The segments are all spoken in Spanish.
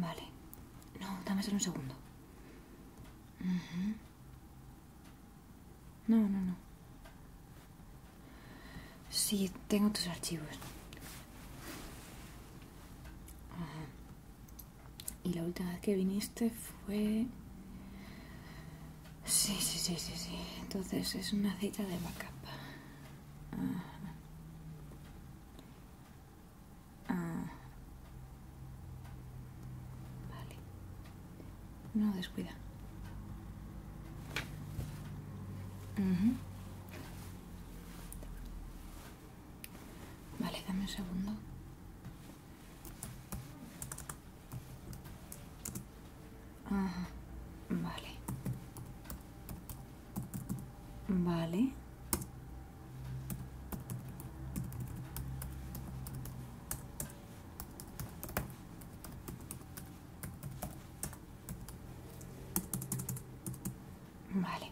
Vale. No, dame solo un segundo. No, no, no. Sí, tengo tus archivos. Y la última vez que viniste fue... Sí, sí, sí, sí, sí. Entonces es una cita de backup. Ah. Vale. No, descuida. Vale, dame un segundo. Ajá, ah, vale. Vale. Vale.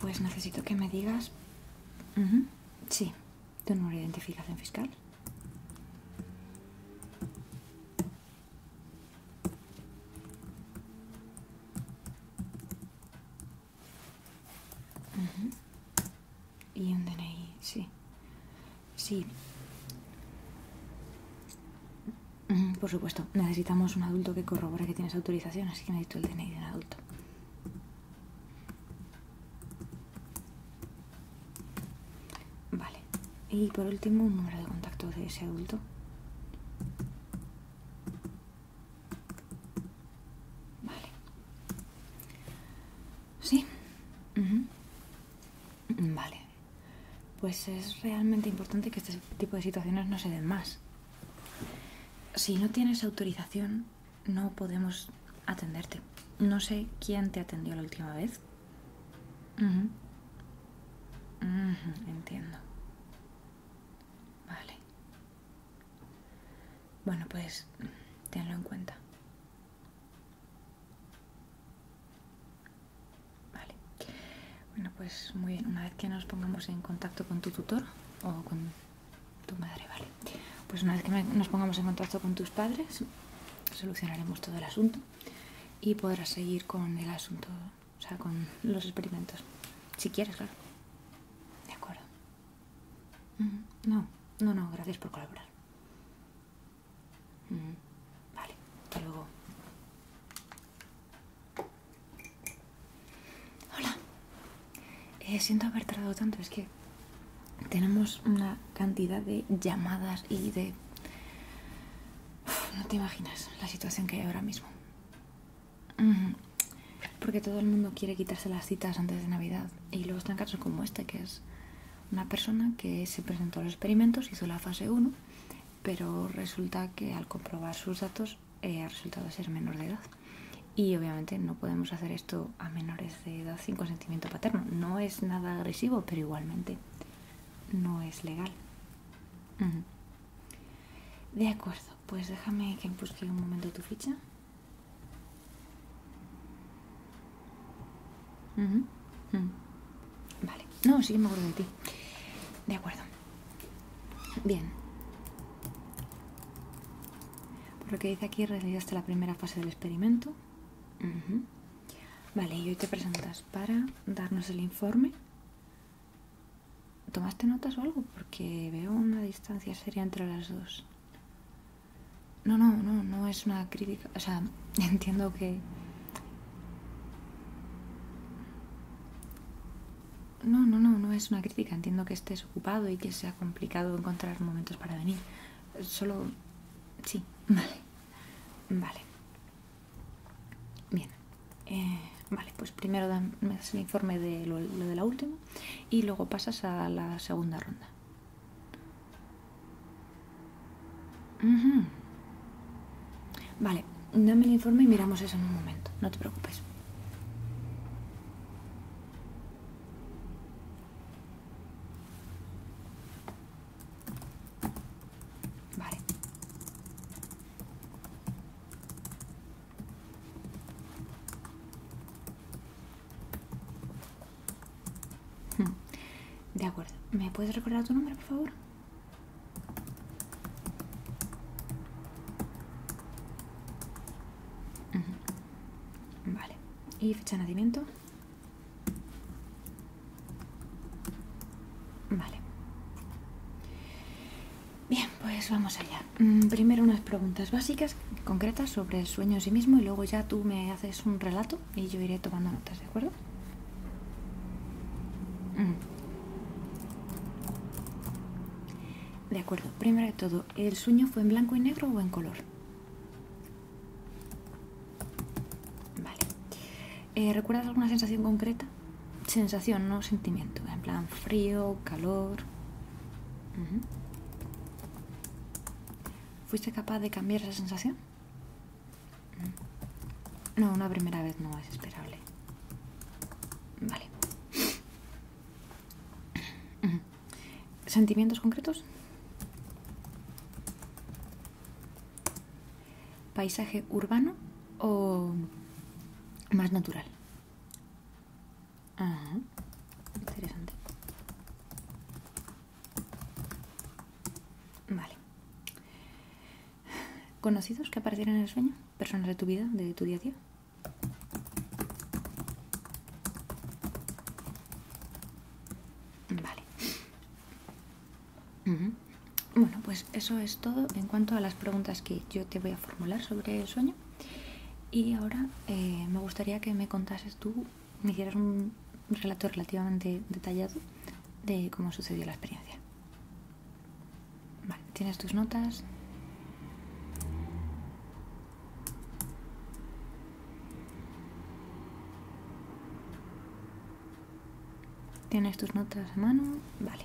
Pues necesito que me digas... Sí, tu número identificación fiscal. Y un DNI, sí. Sí. Por supuesto, necesitamos un adulto que corrobore que tienes autorización, así que necesito el DNI de un adulto. Vale. Y por último, un número de contacto de ese adulto. Vale. Sí. Vale pues es realmente importante que este tipo de situaciones no se den más. Si no tienes autorización, no podemos atenderte. No sé quién te atendió la última vez. entiendo. Vale. Bueno, pues tenlo en cuenta. Vale. Bueno, pues muy bien. Una vez que nos pongamos en contacto con tu tutor o con tu madre, vale. Pues una vez que nos pongamos en contacto con tus padres, solucionaremos todo el asunto y podrás seguir con el asunto, o sea, con los experimentos. Si quieres, claro. De acuerdo. Mm, no, no, no, gracias por colaborar. Mm, vale, hasta luego. Hola. Eh, siento haber tardado tanto, es que tenemos una cantidad de llamadas y de... no te imaginas la situación que hay ahora mismo. Porque todo el mundo quiere quitarse las citas antes de Navidad. Y luego están casos como este, que es una persona que se presentó a los experimentos, hizo la fase 1 pero resulta que al comprobar sus datos eh, ha resultado ser menor de edad. Y obviamente no podemos hacer esto a menores de edad sin consentimiento paterno. No es nada agresivo, pero igualmente no es legal. De acuerdo, pues déjame que busque un momento tu ficha. Mm. Vale. No, sí que me acuerdo de ti. De acuerdo. Bien. Por lo que dice aquí, realizaste la primera fase del experimento. Vale, y hoy te presentas para darnos el informe. ¿Tomaste notas o algo? Porque veo una distancia seria entre las dos. No, no, no, no es una crítica. O sea, entiendo que no, no, no, no es una crítica. Entiendo que estés ocupado y que sea complicado encontrar momentos para venir. Solo... Sí, vale. Vale. Bien. Eh, vale, pues primero me das el informe de lo de la última y luego pasas a la segunda ronda. Vale, dame el informe y miramos eso en un momento, no te preocupes. Vale. Hmm. De acuerdo. ¿Me puedes recordar tu nombre, por favor? Vale. ¿Y fecha de nacimiento? Vale. Bien, pues vamos allá. Mm, primero unas preguntas básicas, concretas, sobre el sueño en sí mismo y luego ya tú me haces un relato y yo iré tomando notas, ¿de acuerdo? Mm. De acuerdo, primero de todo, ¿el sueño fue en blanco y negro o en color? Vale. Eh, ¿Recuerdas alguna sensación concreta? Sensación, no sentimiento. En plan frío, calor. ¿Fuiste capaz de cambiar esa sensación? No, una primera vez no es esperable. Vale. ¿Sentimientos concretos? ¿Paisaje urbano o más natural? interesante. Vale conocidos que aparecieron en el sueño, personas de tu vida, de tu día a día. Vale. Bueno, pues eso es todo en cuanto a las preguntas que yo te voy a formular sobre el sueño. Y ahora eh, me gustaría que me contases tú, me hicieras un relato relativamente detallado de cómo sucedió la experiencia. Vale, tienes tus notas. Tienes tus notas a mano. Vale.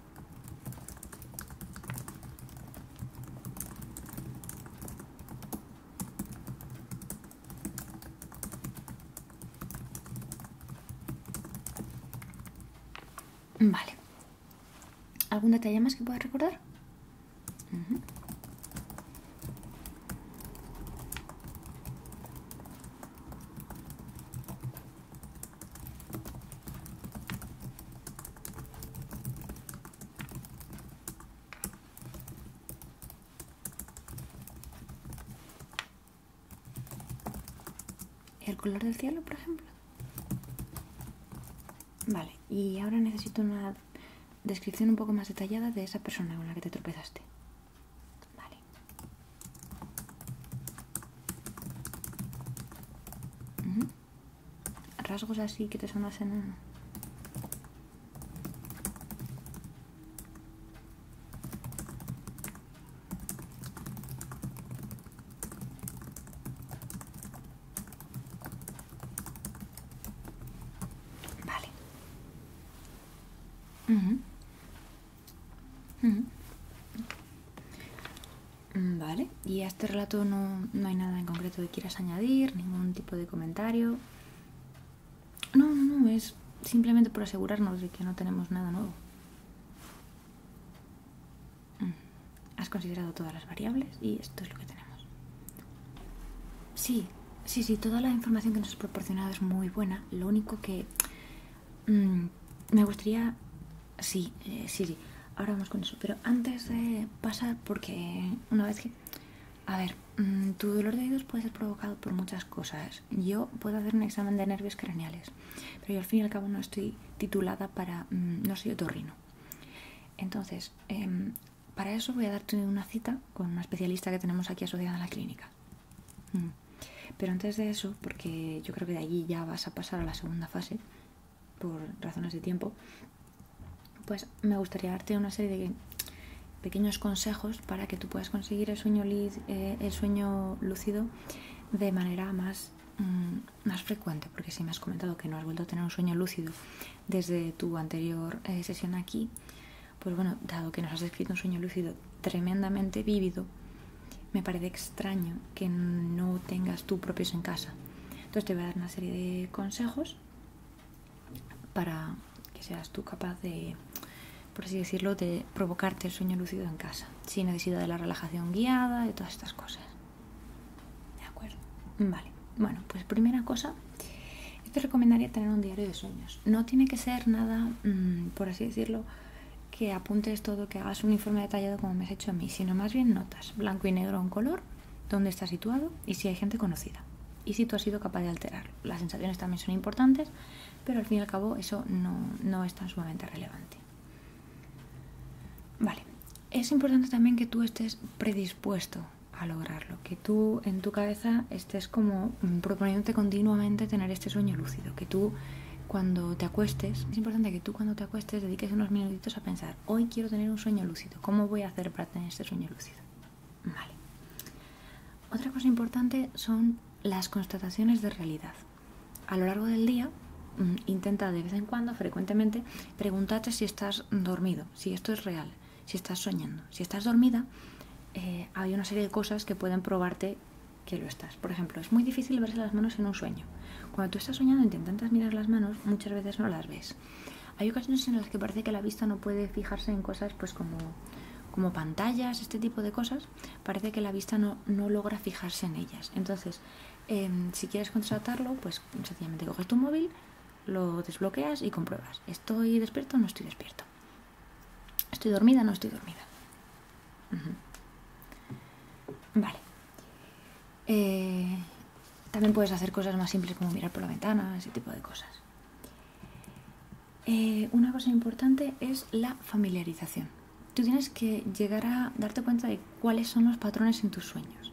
Vale. ¿Algún detalle más que pueda recordar? el color del cielo, por ejemplo. Vale, y ahora necesito una descripción un poco más detallada de esa persona con la que te tropezaste. Vale. Rasgos así que te sonas enana. Vale. Mm, vale, y a este relato no, hay nada en concreto que quieras añadir, ningún tipo de comentario. No, no, no, es simplemente por asegurarnos de que no tenemos nada nuevo. Mm. Has considerado todas las variables y esto es lo que tenemos. Sí, sí, sí, toda la información que nos has proporcionado es muy buena. Lo único que Mm, me gustaría... Sí, sí, eh, sí. Ahora vamos con eso. Pero antes de pasar, porque una vez que... A ver, mm, tu dolor de oídos puede ser provocado por muchas cosas. Yo puedo hacer un examen de nervios craneales, pero yo al fin y al cabo no estoy titulada para... Mm, no soy otorrino. Entonces, em, para eso voy a darte una cita con una especialista que tenemos aquí asociada a la clínica. Pero antes de eso, porque yo creo que de allí ya vas a pasar a la segunda fase, por razones de tiempo, pues me gustaría darte una serie de pequeños consejos para que tú puedas conseguir el sueño, eh, el sueño lúcido de manera más, mm, más frecuente, porque si me has comentado que no has vuelto a tener un sueño lúcido desde tu anterior eh, sesión aquí, pues bueno, dado que nos has descrito un sueño lúcido tremendamente vívido, me parece extraño que no tengas tú propios en casa. Entonces te voy a dar una serie de consejos para que seas tú capaz de, por así decirlo, de provocarte el sueño lúcido en casa, sin necesidad de la relajación guiada, de todas estas cosas. ¿De acuerdo? Vale. Bueno, pues primera cosa, te recomendaría tener un diario de sueños. No tiene que ser nada, mm, por así decirlo, que apuntes todo, que hagas un informe detallado como me has hecho a mí, sino más bien notas, blanco y negro en color, dónde está situado y si hay gente conocida. Y si tú has sido capaz de alterarlo. Las sensaciones también son importantes, pero al fin y al cabo eso no, no es tan sumamente relevante. Vale, es importante también que tú estés predispuesto a lograrlo, que tú en tu cabeza estés como mm, proponiéndote continuamente tener este sueño lúcido, que tú cuando te acuestes, es importante que tú cuando te acuestes dediques unos minutitos a pensar, hoy quiero tener un sueño lúcido, ¿cómo voy a hacer para tener este sueño lúcido? Vale. Otra cosa importante son las constataciones de realidad. A lo largo del día, mm, intenta de vez en cuando, frecuentemente, preguntarte si estás dormido, si esto es real, si estás soñando. Si estás dormida, eh, hay una serie de cosas que pueden probarte que lo estás. Por ejemplo, es muy difícil verse las manos en un sueño. Cuando tú estás soñando y intentas mirar las manos, muchas veces no las ves. Hay ocasiones en las que parece que la vista no puede fijarse en cosas pues como, como pantallas, este tipo de cosas. Parece que la vista no, no logra fijarse en ellas. Entonces, em, si quieres contratarlo, pues sencillamente coges tu móvil, lo desbloqueas y compruebas. ¿Estoy despierto o no estoy despierto? ¿Estoy dormida o no estoy dormida? Vale. Eh, también puedes hacer cosas más simples como mirar por la ventana, ese tipo de cosas. Eh, una cosa importante es la familiarización. Tú tienes que llegar a darte cuenta de cuáles son los patrones en tus sueños.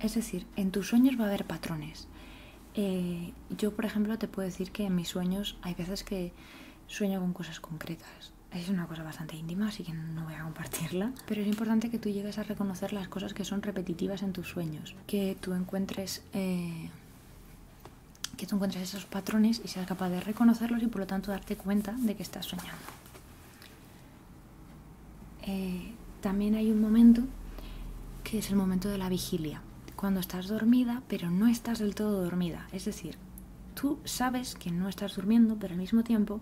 Es decir, en tus sueños va a haber patrones. Eh, yo, por ejemplo, te puedo decir que en mis sueños hay veces que sueño con cosas concretas. Es una cosa bastante íntima, así que no voy a compartirla. Pero es importante que tú llegues a reconocer las cosas que son repetitivas en tus sueños. Que tú encuentres... Eh, que tú encuentres esos patrones y seas capaz de reconocerlos y por lo tanto darte cuenta de que estás soñando. Eh, también hay un momento que es el momento de la vigilia, cuando estás dormida pero no estás del todo dormida, es decir, tú sabes que no estás durmiendo, pero al mismo tiempo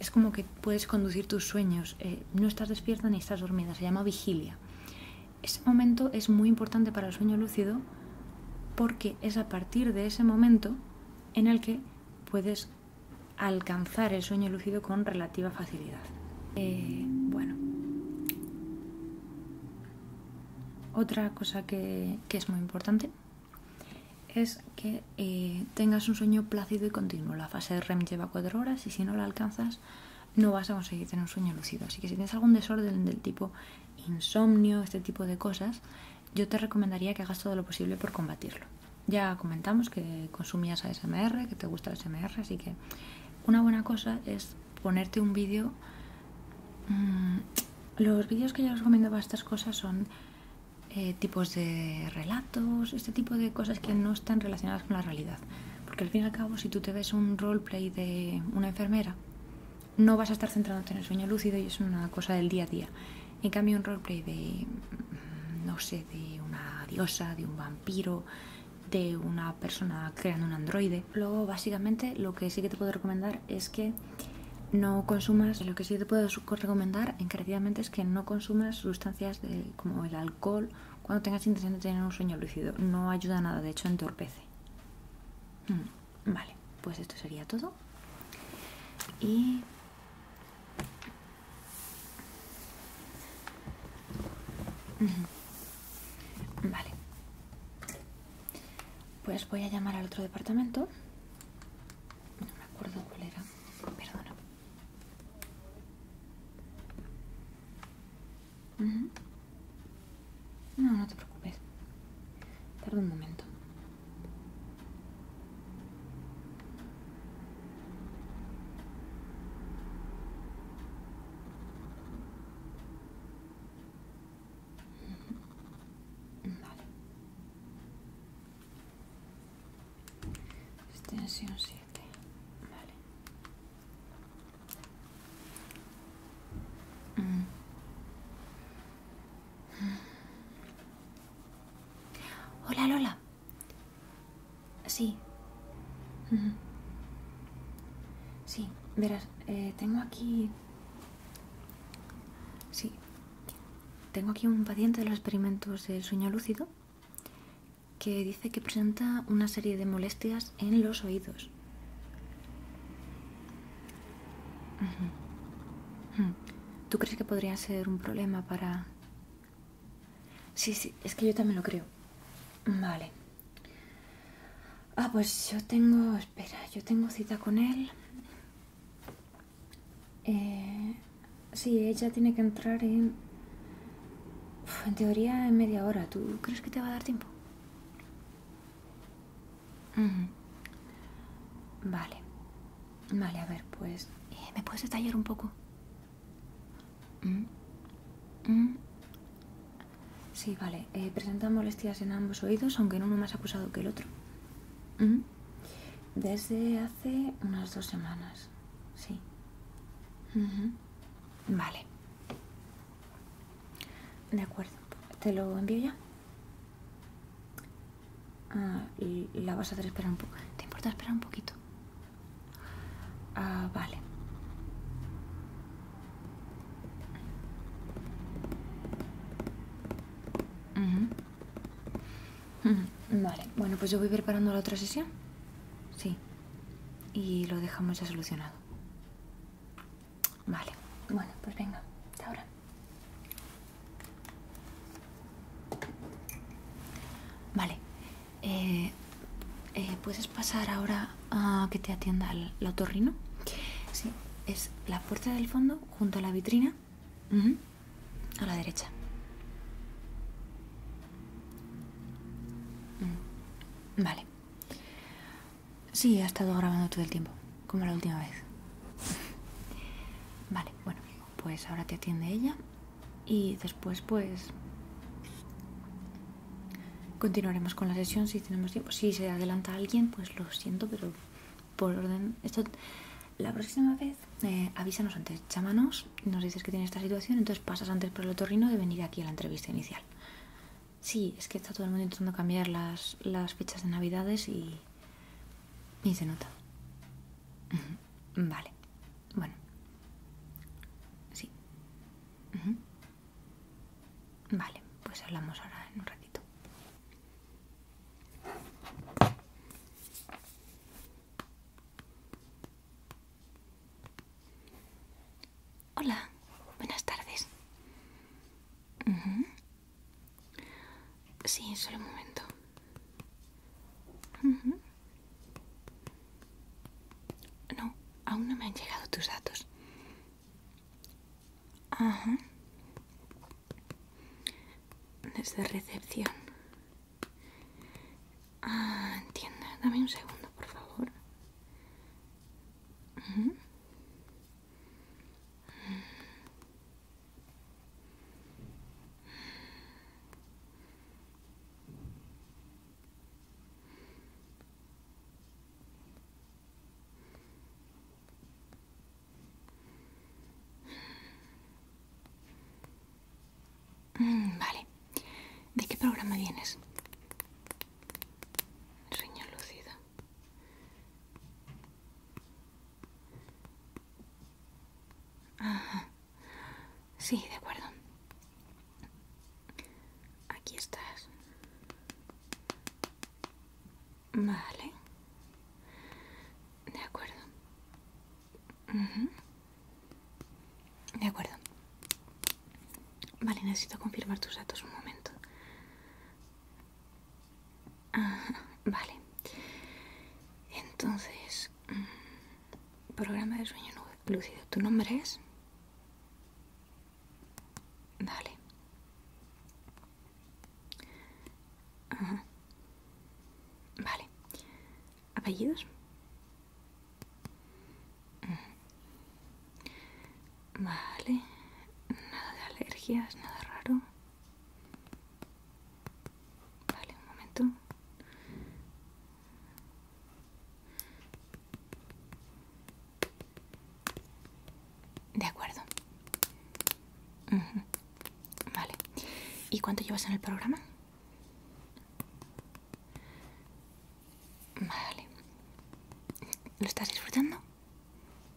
es como que puedes conducir tus sueños. Eh, no estás despierta ni estás dormida, se llama vigilia. Ese momento es muy importante para el sueño lúcido porque es a partir de ese momento en el que puedes alcanzar el sueño lúcido con relativa facilidad. Eh, bueno, otra cosa que es muy importante es que eh, tengas un sueño plácido y continuo. La fase de REM lleva 4 horas y si no la alcanzas no vas a conseguir tener un sueño lúcido. Así que si tienes algún desorden del tipo insomnio, este tipo de cosas, yo te recomendaría que hagas todo lo posible por combatirlo. Ya comentamos que consumías ASMR, que te gusta el ASMR, así que una buena cosa es ponerte un vídeo mm, los vídeos que yo os recomiendo para estas cosas son eh, tipos de relatos, este tipo de cosas que no están relacionadas con la realidad. Porque al fin y al cabo, si tú te ves un roleplay de una enfermera, no vas a estar centrándote en el sueño lúcido y es una cosa del día a día. En cambio, un roleplay de, mm, no sé, de una diosa, de un vampiro, de una persona creando un androide. Luego, básicamente, lo que sí que te puedo recomendar es que no consumas, lo que sí te puedo recomendar encarecidamente es que no consumas sustancias como el alcohol cuando tengas intención de tener un sueño lúcido. No ayuda nada, de hecho entorpece. Mm, vale, pues esto sería todo. Y... Vale. Pues voy a llamar al otro departamento. No me acuerdo cuál era. Perdona. No, no te preocupes. Tarde un momento. Vale. Extensión 7. Vale. Hola Lola. Sí. Sí, verás, eh, tengo aquí Sí, tengo aquí un paciente de los experimentos del sueño lúcido que dice que presenta una serie de molestias en los oídos. ¿Tú crees que podría ser un problema para...? Sí, sí, es que yo también lo creo. Vale. Ah, pues yo tengo, espera, yo tengo cita con él. Eh, sí, ella tiene que entrar en... en teoría en media hora. ¿Tú crees que te va a dar tiempo? Vale. Vale, a ver, pues... Eh, ¿Me puedes detallar un poco? Mm. Mm. Sí, vale. Eh, presenta molestias en ambos oídos, aunque en uno más acusado que el otro. Desde hace unas dos semanas, sí. Vale. De acuerdo. ¿Te lo envío ya? Ah, la vas a hacer esperar un poco. ¿Te importa esperar un poquito? Ah, vale. Vale, bueno, pues yo voy preparando la otra sesión. Sí. Y lo dejamos ya solucionado. Vale, bueno, pues venga, ahora. Vale. Eh, eh, ¿Puedes pasar ahora a que te atienda el, el Sí es la puerta del fondo junto a la vitrina a la derecha. Mm, vale. Sí, ha estado grabando todo el tiempo, como la última vez. Vale, bueno, pues ahora te atiende ella y después pues continuaremos con la sesión si tenemos tiempo. Si se adelanta alguien, pues lo siento, pero por orden. Esto, la próxima vez eh, avísanos antes, llámanos, nos dices que tiene esta situación, entonces pasas antes por el otorrino de venir aquí a la entrevista inicial. Sí, es que está todo el mundo intentando cambiar las, las fechas de navidades y, y se nota. Vale, bueno. Sí. Vale, pues hablamos ahora en un ratito. Hola, buenas tardes. Sí, solo un momento. No, aún no me han llegado tus datos. Desde recepción. Ah, Dame un segundo, por favor. Mm, vale. ¿De qué programa vienes? Riñón lucido. ah, Sí, de acuerdo. Aquí estás. Vale. De acuerdo. De acuerdo. Vale, necesito confirmar tus datos un momento. vale. Entonces, mm, programa de sueño lúcido. ¿Tu nombre es? Vale. Vale. ¿Apellidos? Vale. Nada de alergias, nada raro. Vale, un momento. De acuerdo. Vale. ¿Y cuánto llevas en el programa? Vale. ¿Lo estás disfrutando?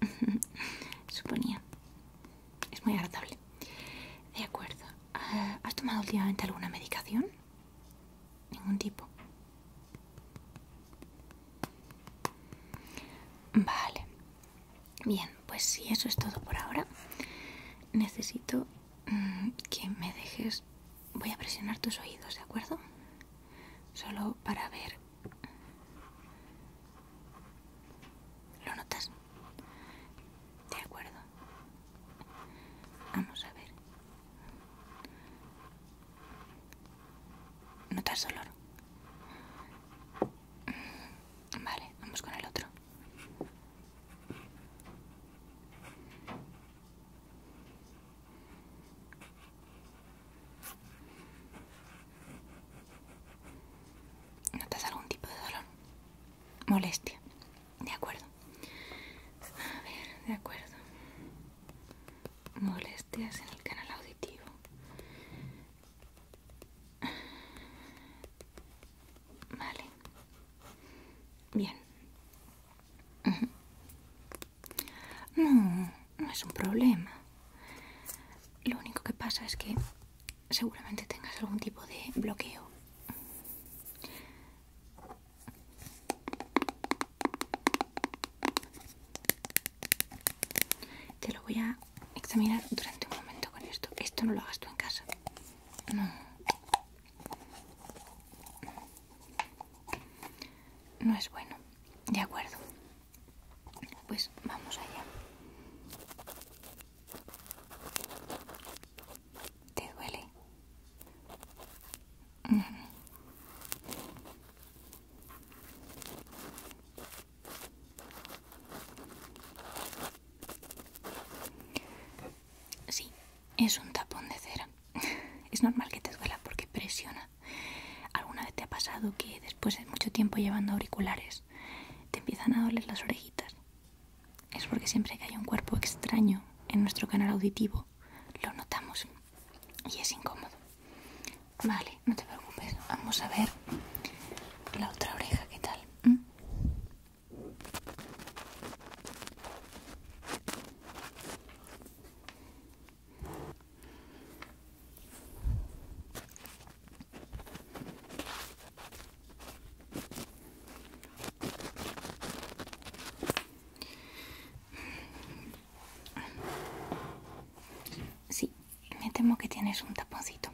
Suponía. Es muy agradable. De acuerdo. Ah, ¿Has tomado últimamente alguna medicación? Ningún tipo. Vale. Bien, pues si eso es todo por ahora, necesito mm, que me dejes... Voy a presionar tus oídos, ¿de acuerdo? Solo para ver... ¿Lo notas? De acuerdo. Vamos a ver. ¿Notas dolor? Mm, vale, vamos con el otro. ¿Notas algún tipo de dolor? Molestia. De acuerdo. A ver, de acuerdo. Molestia. Te en el canal auditivo. Vale. Bien. No, no es un problema. Lo único que pasa es que seguramente tengas algún tipo de bloqueo. Te lo voy a examinar durante un momento con esto. Esto no lo hagas tú en casa. No. No es bueno. De acuerdo. Pues vamos allá. ¿Te duele? Sí, es un tapón de cera. Es normal que te duela porque presiona. ¿Alguna vez te ha pasado que después de mucho tiempo llevando auriculares te empiezan a doler las orejitas? Es porque siempre que hay un cuerpo extraño en nuestro canal auditivo, lo notamos y es incómodo. Vale, no te preocupes. Vamos a ver la otra oreja, ¿qué tal? ¿Mm? Sí, me temo que tienes un taponcito.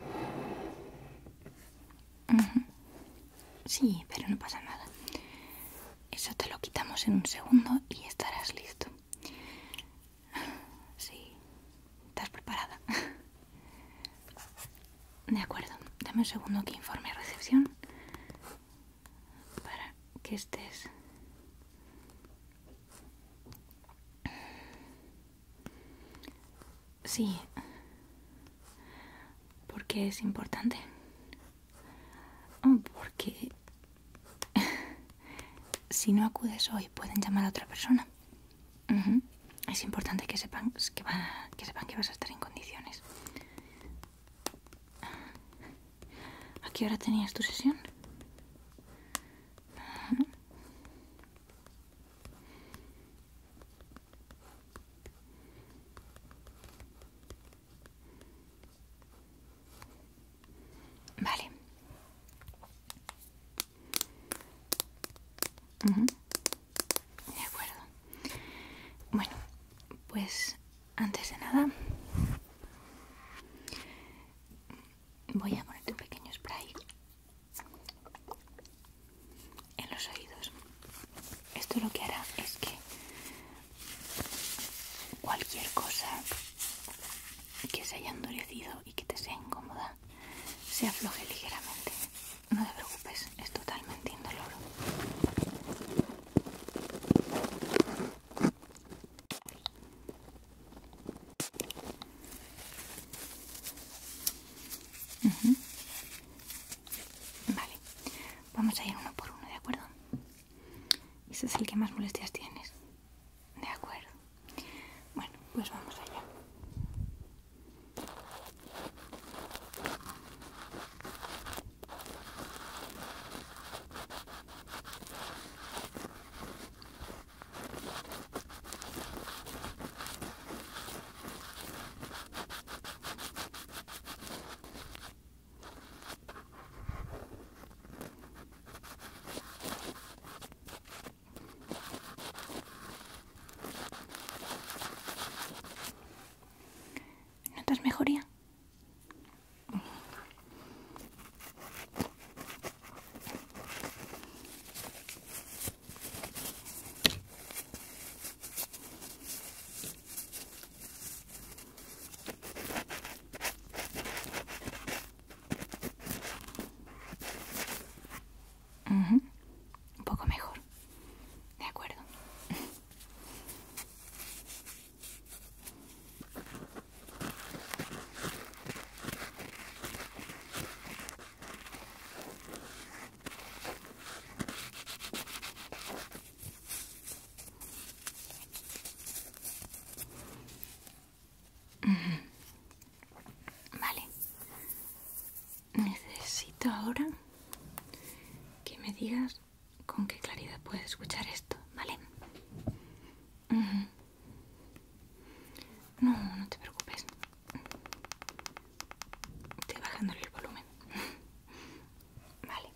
Sí, pero no pasa nada. Eso te lo quitamos en un segundo y estarás listo. Sí, estás preparada. De acuerdo, dame un segundo que informe recepción para que estés Sí. porque qué es importante? Oh, porque si no acudes hoy pueden llamar a otra persona. Es importante que sepan que, que sepan que vas a estar en condiciones. ¿A qué hora tenías tu sesión? Vale. De acuerdo. Bueno, pues antes de nada voy a ponerte un pequeño spray en los oídos. Esto lo que hará es que cualquier cosa que se haya endurecido y que te sea incómoda se afloje ligeramente. No te preocupes, es totalmente indoloro. Vale, vamos a ir uno por uno, ¿de acuerdo? Ese es el que más molestias tienes. De acuerdo. Bueno, pues vamos allá. ¿Notas mejoría? Un poco mejor. De acuerdo. Vale. Necesito ahora que me digas con qué claridad puedes escuchar esto, ¿vale? No, no te preocupes. Estoy bajándole el volumen. Vale.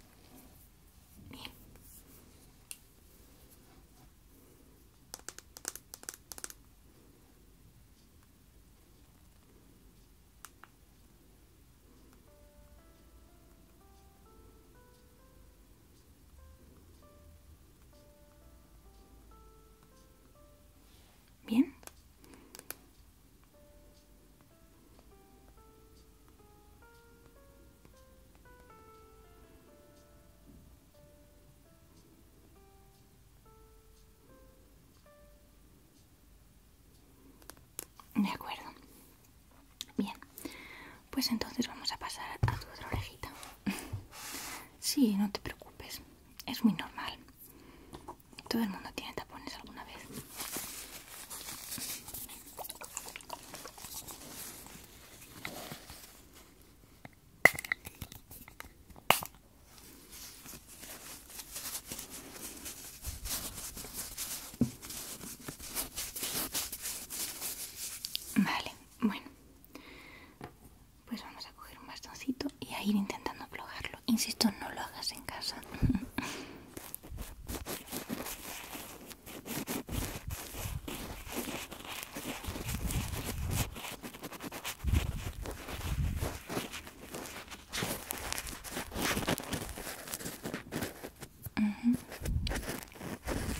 Bien. Bien. De acuerdo. Bien. Pues entonces vamos a pasar a tu otra orejita. Sí, no te preocupes, es muy normal. Todo el mundo tiene tapones alguna vez. Vale, bueno, pues vamos a coger un bastoncito y a ir intentando aflojarlo. Insisto, no lo hagas en casa.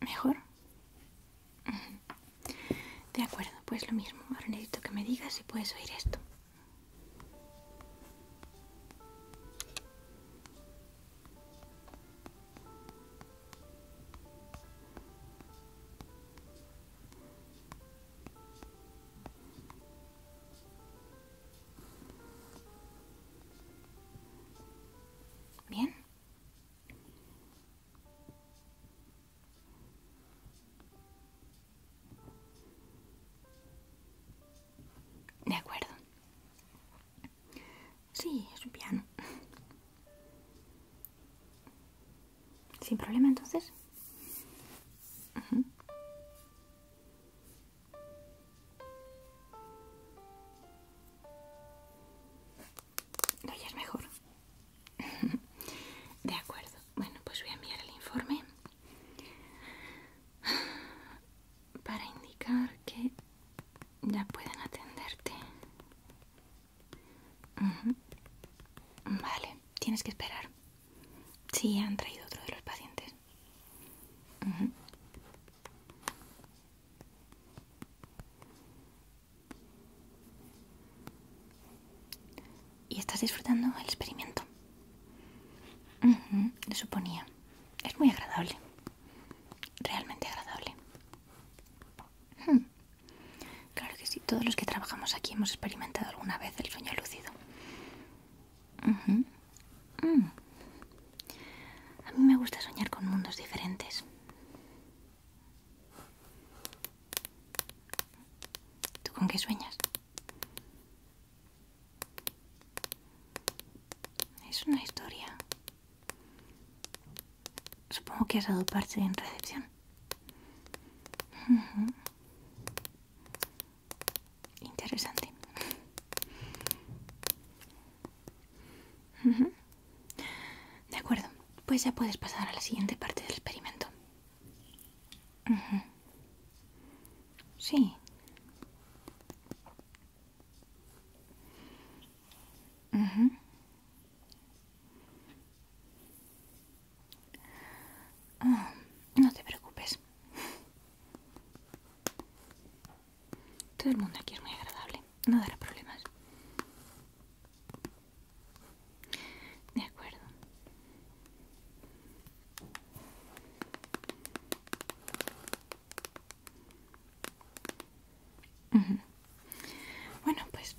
¿Mejor? De acuerdo, pues lo mismo. Ahora necesito que me digas si puedes oír esto. Bien. De acuerdo. Sí, es un piano. Sin problema entonces. No, es mejor. De acuerdo. Bueno, pues voy a enviar el informe para indicar que ya pueden atenderte. Vale, tienes que esperar. Sí, han traído otro de los pacientes. ¿Y estás disfrutando el experimento? le suponía. Es muy agradable. Realmente agradable. Hmm. Claro que sí, todos los que trabajamos aquí hemos experimentado alguna vez el sueño lúcido. Mm. A mí me gusta soñar con mundos diferentes. ¿Tú con qué sueñas? Es una historia. Supongo que has dado parte en recepción interesante. De acuerdo, pues ya puedes pasar a la siguiente parte del experimento. Sí. Ah, no te preocupes. Todo el mundo aquí es muy agradable, no dará problemas. De acuerdo. Bueno, pues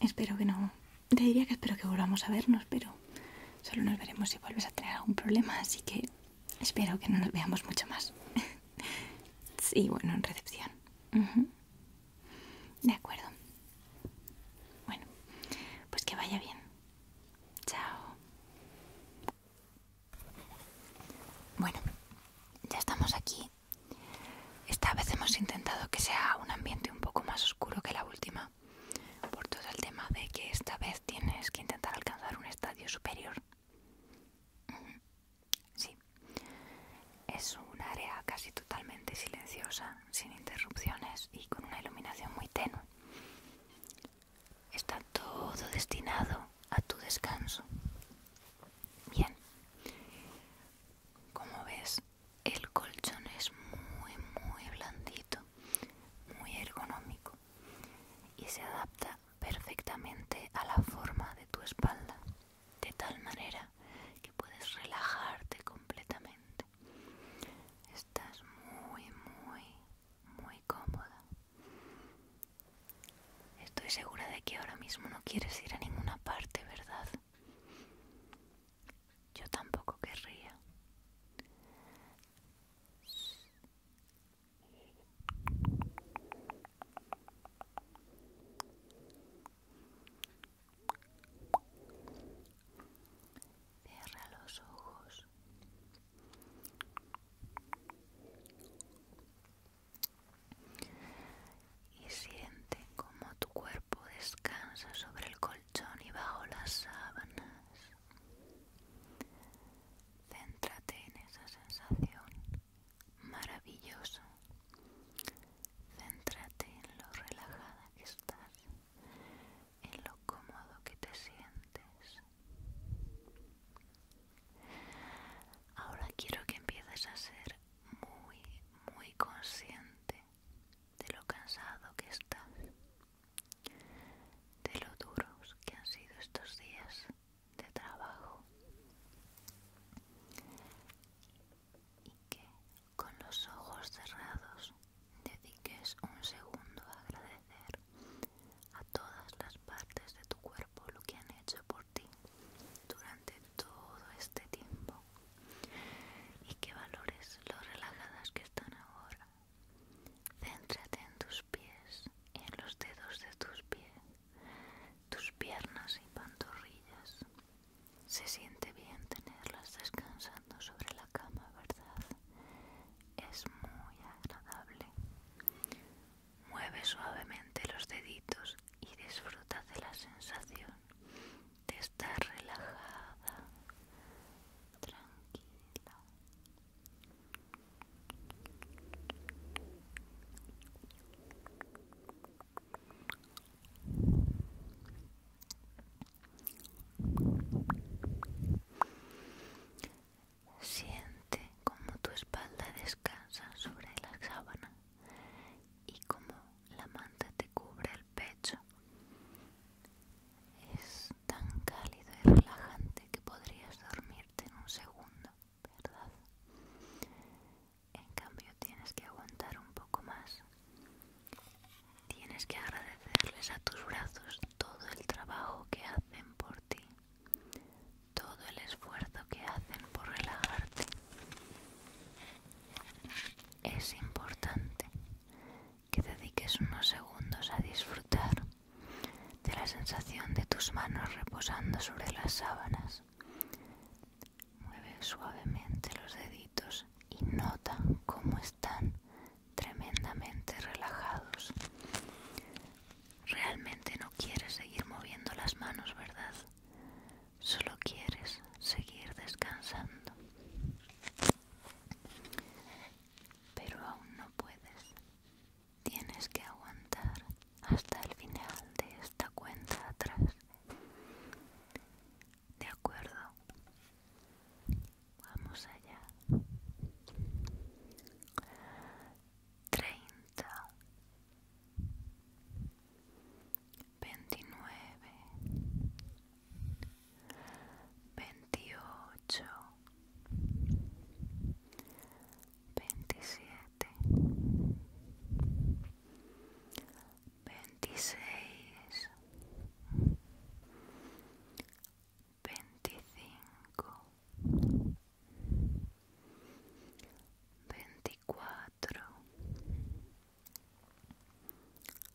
espero que no... Te diría que espero que volvamos a vernos, pero Solo nos veremos si vuelves a tener algún problema, así que espero que no nos veamos mucho más. sí, bueno, en recepción. De acuerdo. Bueno, pues que vaya bien. Chao. Bueno, ya estamos aquí. Esta vez hemos intentado que sea un ambiente un poco más oscuro que la última por todo el tema de que esta vez tienes que intentar alcanzar un estadio superior. Sí, es un área casi totalmente silenciosa, sin interrupciones y con una iluminación muy tenue. Está todo destinado a tu descanso. Bien, como ves, el colchón es muy, muy blandito muy ergonómico y se adapta perfectamente a la forma de tu espalda, de tal manera que puedes relajarte completamente. Estás muy, muy, muy cómoda. Estoy segura de que ahora mismo no quieres ir a ninguna parte, ¿verdad? Yo tampoco querría. Cierra los ojos. Y siente cómo tu cuerpo descansa sobre el colchón y bajo las sábanas. Céntrate en esa sensación maravillosa. Céntrate en lo relajada que estás, en lo cómodo que te sientes. Ahora quiero que empieces a ser muy, muy consciente de lo cansado que estás de lo duros que han sido estos días de trabajo y que con los ojos cerrados dediques un segundo a agradecer a todas las partes de tu cuerpo lo que han hecho por ti durante todo este tiempo y que valores lo relajadas que están ahora Céntrate en tus pies, en los dedos de tus pies, tus piernas y pantorrillas. Se siente bien tenerlas descansando sobre la cama, ¿verdad? Es muy agradable. Mueve suavemente los deditos y disfruta de la sensación de estar relajada, tranquila Siente como tu espalda descansa sobre la sábana y como la manta te cubre el pecho es tan cálido y relajante que podrías dormirte en un segundo, ¿verdad? En cambio tienes que aguantar un poco más. Tienes que agradecerles a tus brazos todo el trabajo que hacen por ti, todo el esfuerzo que hacen por relajarte. Es importante que dediques unos segundos a disfrutar de la sensación de tus manos reposando sobre las sábanas. Mueve suavemente los deditos y nota cómo están tremendamente relajados. Realmente no quieres seguir moviendo las manos, ¿verdad? Solo quieres seguir descansando pero aún no puedes. Tienes que aguantar hasta el final de esta cuenta atrás. De acuerdo. Vamos allá. 30 29 veintiocho, veintisiete, veintiséis, veinticinco, veinticuatro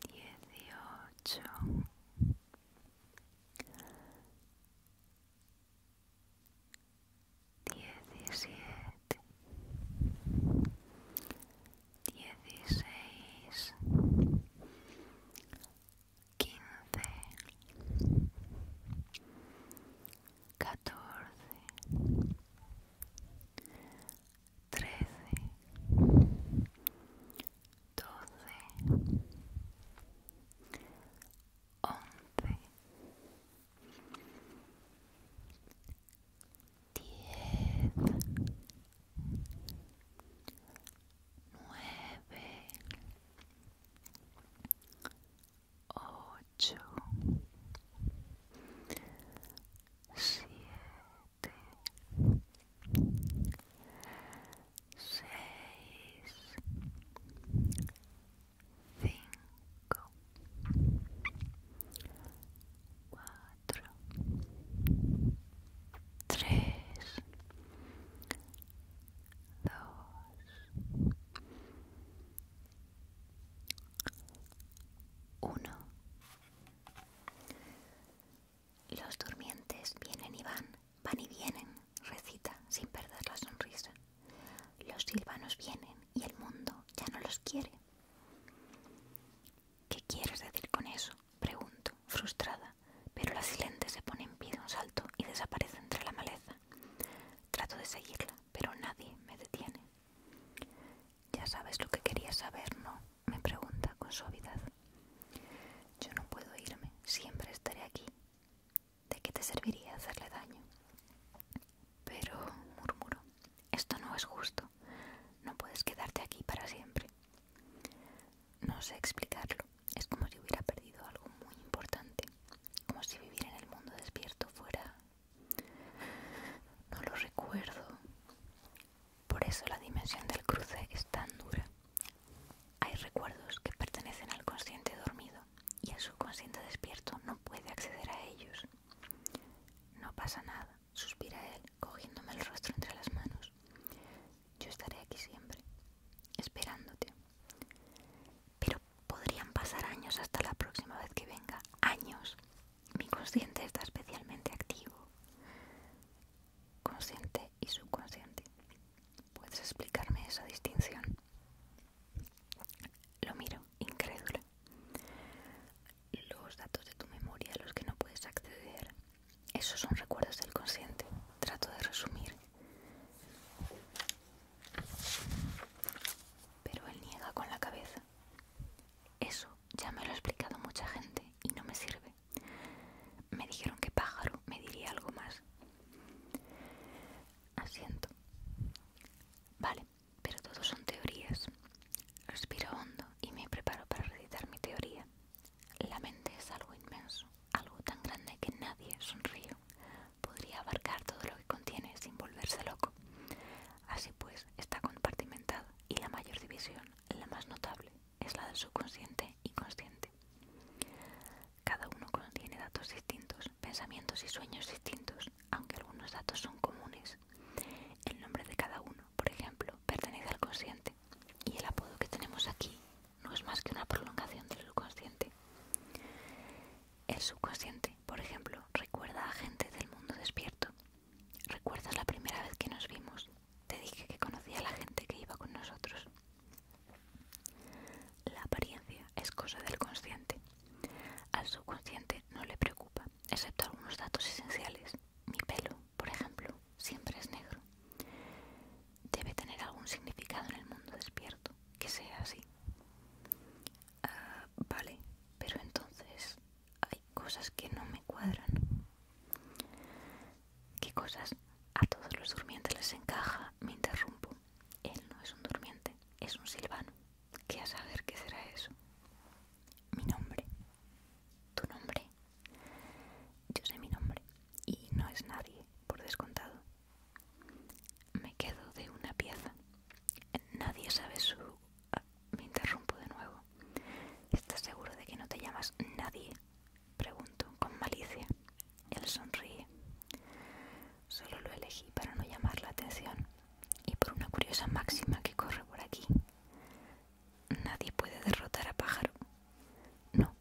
dieciocho diecisiete dieciséis quince catorce trece, doce, once, diez, nueve, ocho, siete seis, cinco, cuatro, tres, dos, uno los durmientes vienen y van, van y vienen, recita sin perder la sonrisa. Los silvanos vienen y el mundo ya no los quiere. ¿Qué quieres decir con eso? Pregunto, frustrada, pero la silente se pone en pie de un salto y desaparece entre la maleza. Trato de seguirla, pero nadie me detiene. Ya sabes lo que quería saber, ¿no? me pregunta con suavidad. Yo no puedo irme, siempre estaré aquí. ¿De qué te serviría hacerle daño? Pero, murmuro, esto no es justo. No puedes quedarte aquí para siempre. No sé explicarlo. Es como si hubiera perdido algo muy importante. Como si vivir en el mundo despierto fuera... No lo recuerdo. Por eso la dimensión del cruce es tan dura. Hay recuerdos que pertenecen al consciente dormido y su subconsciente despierto no puede acceder a ellos. No pasa nada, suspira él, cogiéndome el rostro entre las manos. Yo estaré aquí siempre, esperándote. Pero podrían pasar años hasta la próxima vez que venga. Años. Mi consciente está especialmente activo consciente y subconsciente. ¿Puedes explicarme esa distinción? Lo miro, incrédulo. Los datos de tu memoria los que no puedes acceder, esos son recuerdos del consciente. Trato de resumir. Pero él niega con la cabeza. Eso ya me lo ha explicado mucha gente y no me sirve. Me dijeron que pájaro me diría algo más. Asiento. Vale, pero todo son teorías. Respiro hondo y me preparo para recitar mi teoría. La mente es algo inmenso, algo tan grande que nadie, sonrío, podría abarcar todo lo que contiene sin volverse loco. Así pues, está compartimentado y la mayor división, la más notable, es la del subconsciente y consciente. Cada uno contiene datos distintos, pensamientos y sueños distintos, aunque algunos datos son comunes. El nombre de cada uno, por ejemplo, pertenece al consciente y el apodo que tenemos aquí no es más que una prolongación del subconsciente. El subconsciente, por ejemplo, recuerda a gente del mundo despierto ¿Recuerdas la primera vez que nos vimos? Te dije que conocía a la gente que iba con nosotros. La apariencia es cosa del consciente. Al subconsciente no le preocupa, excepto algunos datos esenciales. Mi pelo, por ejemplo, siempre es negro. Debe tener algún significado en el mundo despierto, que sea así. Ah, vale, pero entonces hay cosas que no me cuadran. ¿Qué cosas? A todos los durmientes les encaja, me interrumpo. Él no es un durmiente, es un silvano. ¿Qué a saber qué será eso? Mi nombre. Tu nombre. Yo sé mi nombre y no es nadie, por descontado. Me quedo de una pieza. Nadie sabe su me interrumpo de nuevo. ¿Estás seguro de que no te llamas nadie? Pregunto, con malicia. Él sonríe. Solo lo elegí para no llamar la atención y por una curiosa máxima que corre por aquí. Nadie puede derrotar a pájaro. No,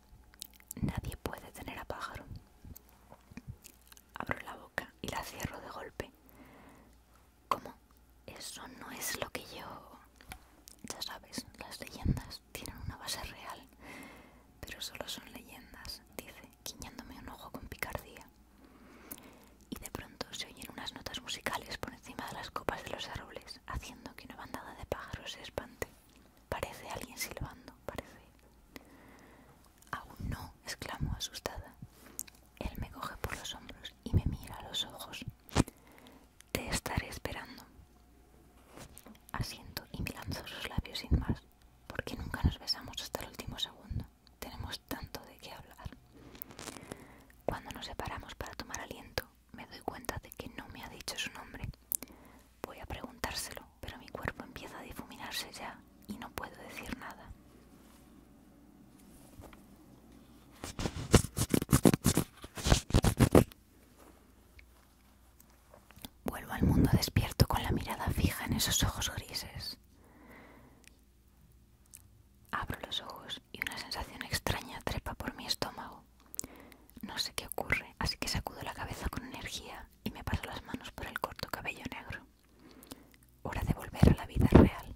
nadie puede tener a pájaro. Abro la boca y la cierro de golpe. ¿Cómo? eso no es lo que yo... Ya sabes, las leyendas tienen una base real, pero solo son leyendas, dice, guiñándome un ojo con picardía. Y de pronto se oyen unas notas musicales por encima de las copas de los árboles, haciendo que una bandada de pájaros se espante. Parece alguien silbando, parece. Aún no, exclamo asustada. Él me coge por los hombros y me mira a los ojos. Te estaré esperando. Asiento y me lanzo sus labios sin más, porque nunca nos besamos hasta el último segundo. Tenemos tanto de qué hablar. Cuando nos separamos para tomar aliento, me doy cuenta de que no me ha dicho su nombre. Voy a preguntárselo, pero mi cuerpo empieza a difuminarse ya y no puedo decir nada. Vuelvo al mundo despierto con la mirada fija en esos ojos grises. Abro los ojos y una sensación extraña trepa por mi estómago. No sé qué ocurre, así que sacudo la cabeza con energía y me paso las manos por el corto cabello negro. Hora de volver a la vida real.